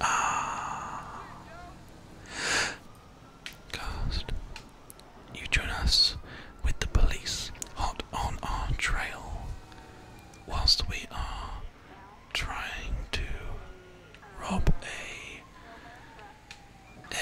Ah. Ghost, you join us with the police hot on our trail whilst we are trying to rob a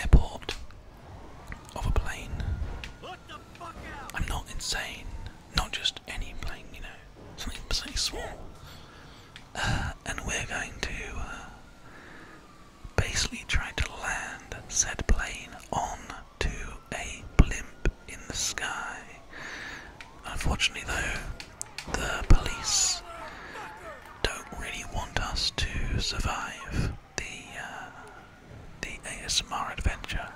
airport of a plane. I'm not insane not just any plane, you know, something, something small. Uh, and we're going to uh, basically try to land said plane on to a blimp in the sky. Unfortunately, though, the police don't really want us to survive the uh, the ASMR adventure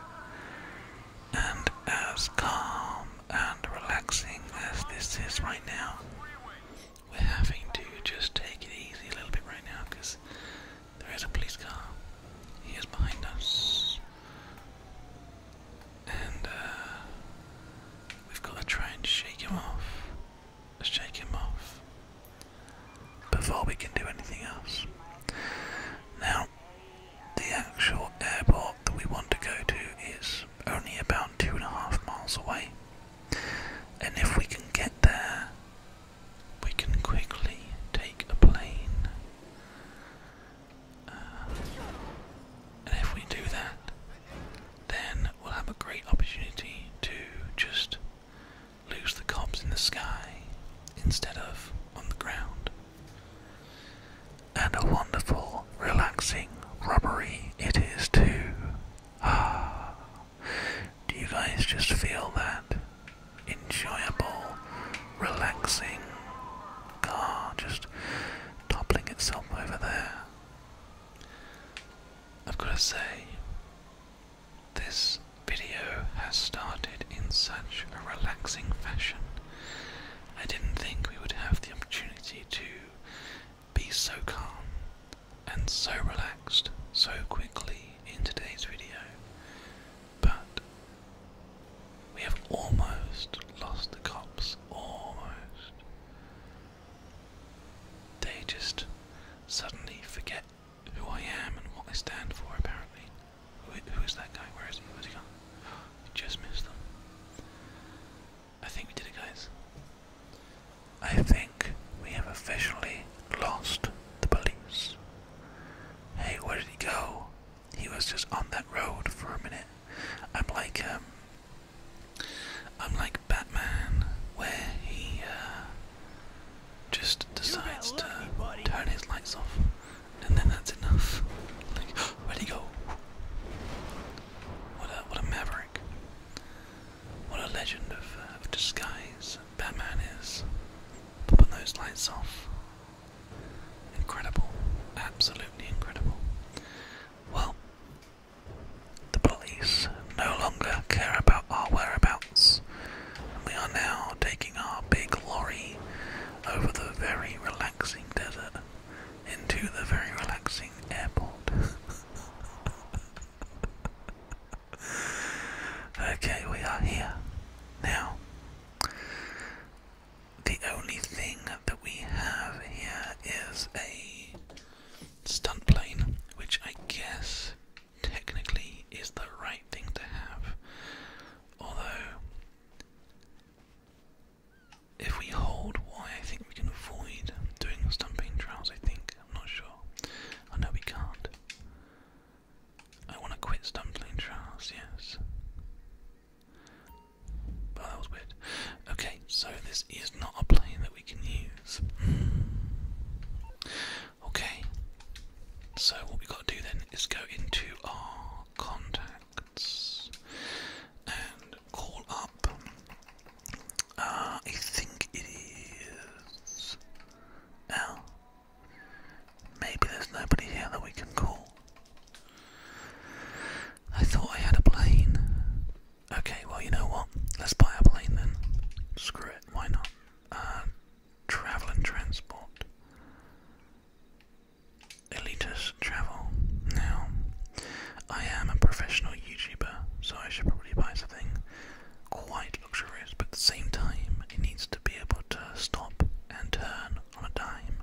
and as calm and relaxing as this is right now, we're having to just take it easy a little bit right now because there is a police car. He is behind us. And uh, we've got to try and shake him off. Let's Shake him off before we can do anything else. Now, the actual airport that we want to go to is only about two and a half miles away, and if we can get there, we can quickly take a plane. Uh, and if we do that, then we'll have a great opportunity to just lose the cops in the sky instead of on the ground. And a wonderful, relaxing rubbery it is too. Ah, do you guys just feel that enjoyable, relaxing car just toppling itself over there? I've got to say, this video has started in such a relaxing fashion. I didn't think we would have the opportunity to be so calm and so relaxed so quickly in today's video, but we have almost lost the cops. Almost. They just suddenly forget who I am and what I stand for, apparently. who is that guy? Where is he? Where's he gone? Just missed them. I think we did it, guys. I think we have officially lost the police. Hey, where did he go? He was just on that road for a minute. I'm like, um, I'm like Batman, where he, uh, just decides to turn his lights off, and then that's enough. where'd he go? What a what a maverick! What a legend uh, of, disguise Batman is. Popping those lights off. Incredible, absolutely incredible. Well, the police no longer care about our whereabouts. We are now taking our big lorry over the very relaxing desert into the very relaxing airport. okay, we are here. Now, the only thing that we have here is a stunt plane, which I guess technically is the right thing to have. Although, if we hold Y, I think we can avoid doing stumping trials, I think. I'm not sure. I know we can't. I want to quit stumbling trials, yes. But that was weird. Okay, so this is not a plane that we can use. Okay, so what we've got to do then is go into our contacts and call up. Uh, I think it is. Now, maybe there's nobody here that we can call. I thought I had a plane. Okay, well, you know what? Let's buy a plane then. Screw it, why not? Uh, travel and transport. Elitus travel. Now, I am a professional YouTuber, so I should probably buy something quite luxurious, but at the same time, it needs to be able to stop and turn on a dime.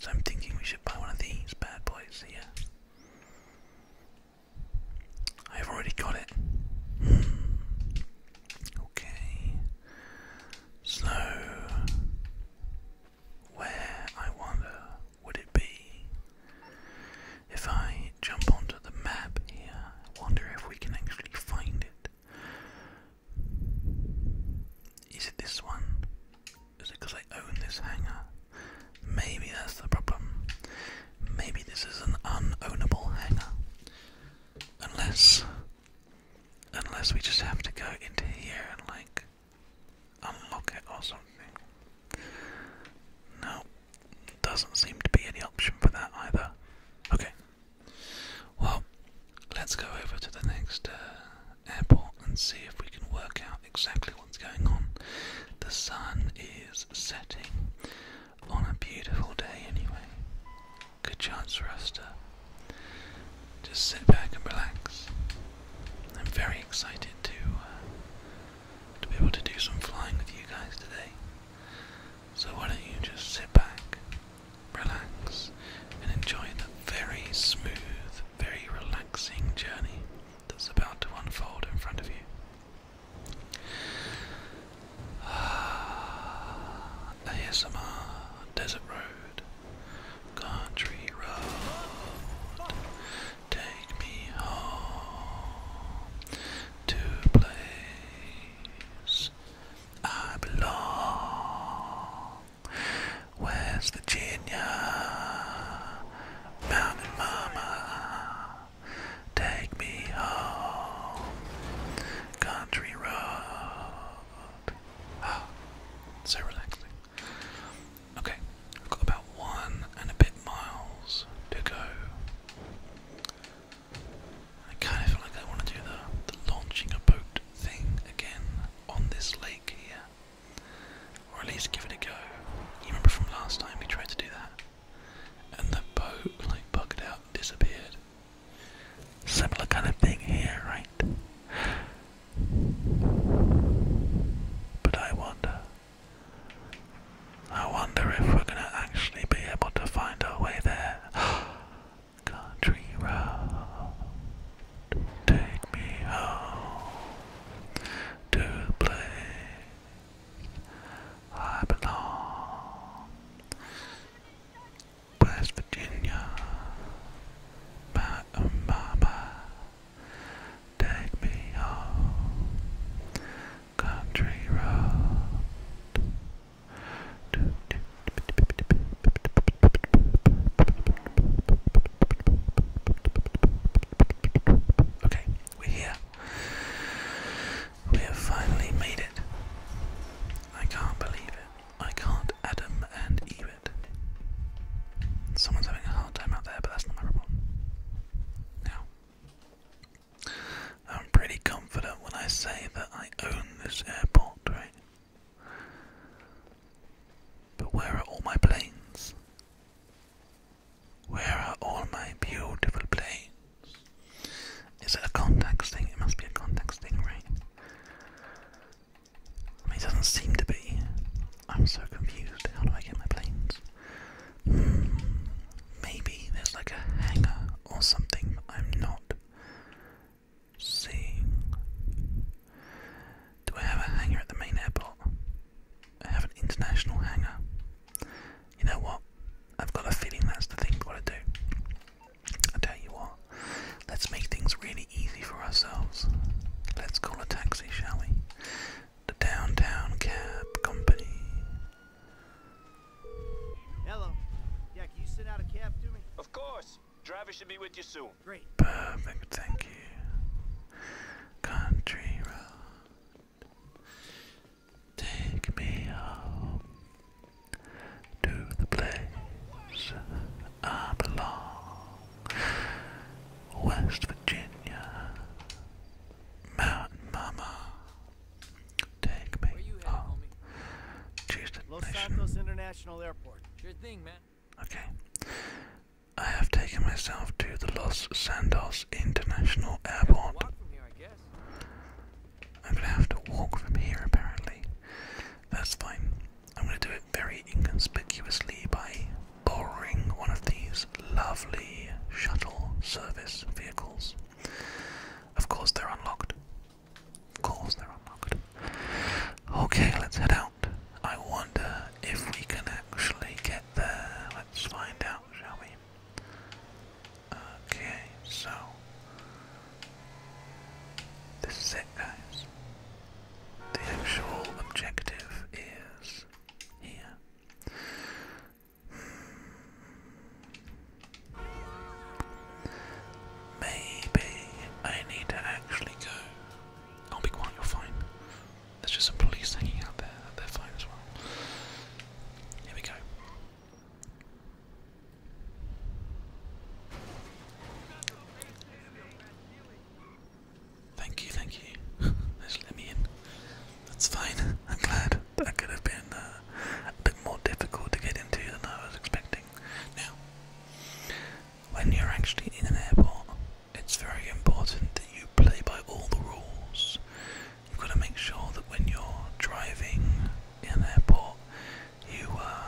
So I'm thinking we should buy one of these bad boys here. I've already got it. Okay. So, where, I wonder, would it be? If I jump onto the map here, I wonder if we can actually find it. Is it this one? Is it because I own this hangar? Maybe that's the problem. Maybe this is an unownable hangar. Unless. Unless we just have to go into here and like unlock it or something. No, doesn't seem to be any option for that either. Okay, well, let's go over to the next uh, airport and see if we can work out exactly what's going on. The sun is setting on a beautiful day, anyway. Good chance for us to just sit back and relax. I'm very excited to uh, to be able to do some flying with you guys today. So why don't you just sit back, relax, and enjoy a very smooth, very relaxing journey that's about to unfold in front of you. Ah, ASMR, Desert Road, Country Road, take me home to a place I belong. West Virginia, Mountain Mama, take me home, country road. Ah, so relaxing. Okay, I've got about one and a bit miles to go. I kind of feel like I want to do the, the launching a boat thing again on this lake here. Or at least give it a go. You remember from last time we tried to do that? And the boat like bugged out and disappeared. Similar kind of thing here, right? But I wonder. I wonder if we're gonna actually be able to find our way there. Country road. Take me home to the place I belong. West Virginia, my oh, mama. Take me home, country road. Okay, we're here. We have finally made it. I can't believe it. I can't Adam and Eve it. Someone's having a hard time out there, but that's not my problem. Now, I'm pretty confident when I say that I own this airport, right? But where are all my planes? Where are all my beautiful planes? Is it a context thing? It must be a context thing, right? it doesn't seem to be. I'm so confused. How do I get my planes? Hmm, maybe there's like a hangar or something, I'm not Seeing. Do I have a hangar at the main airport? I have an international hangar. You know what? I've got a feeling that's the thing we got to do. I tell you what, let's make things really easy for ourselves. Let's call a taxi, shall we? The Downtown Cab Company. Hello. Yeah, can you send out a cab to me? Of course. Driver should be with you soon. Great. Perfect, thank you. Country road. Take me home to the place I belong. West Virginia. Mountain Mama. Take me home Choose Los Santos International Airport. Sure thing, man. Okay. I have taken myself to the Los Santos International Airport. I'm gonna have to walk from here apparently. That's fine. I'm gonna do it very inconspicuously by borrowing one of these lovely shuttle service vehicles. Of course, they're unlocked, Goals, they're unlocked. Okay, let's head out. I wonder if we can actually get there. Let's find out, shall we? Okay, so. This is it, guys. The actual objective is here. Maybe I need to actually go. Oh, be quiet, you're fine. There's just some police hanging out there, they're fine as well. Here we go. Thank you, thank you. Just let me in. That's fine. I'm glad that could have been uh, uh, a bit more difficult to get into than I was expecting. Now, when you're actually in an airport, it's very important that you play by all the rules. You've got to make sure that when you're driving in an airport, you uh,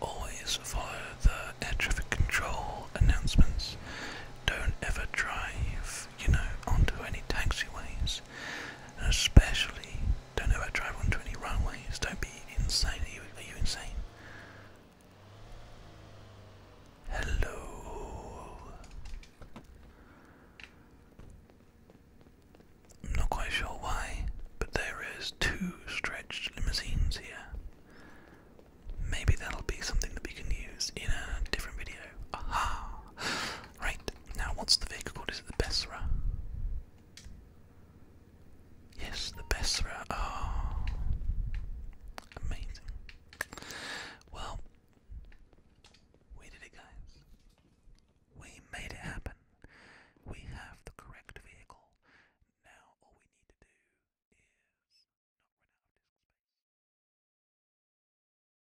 always follow the air traffic control announcements. Don't ever drive, you know, onto any taxiways, and especially don't know about drive on runways. Don't be insane. are you insane? Hello. I'm not quite sure why, but there is two stretched limousines here. Maybe that'll be something that we can use in a different video. Aha! Right, now what's the vehicle called? Is it the Bessera? Yes, the Bessera. Oh, amazing. Well, we did it, guys. We made it happen. We have the correct vehicle. Now all we need to do is not run out of disk space.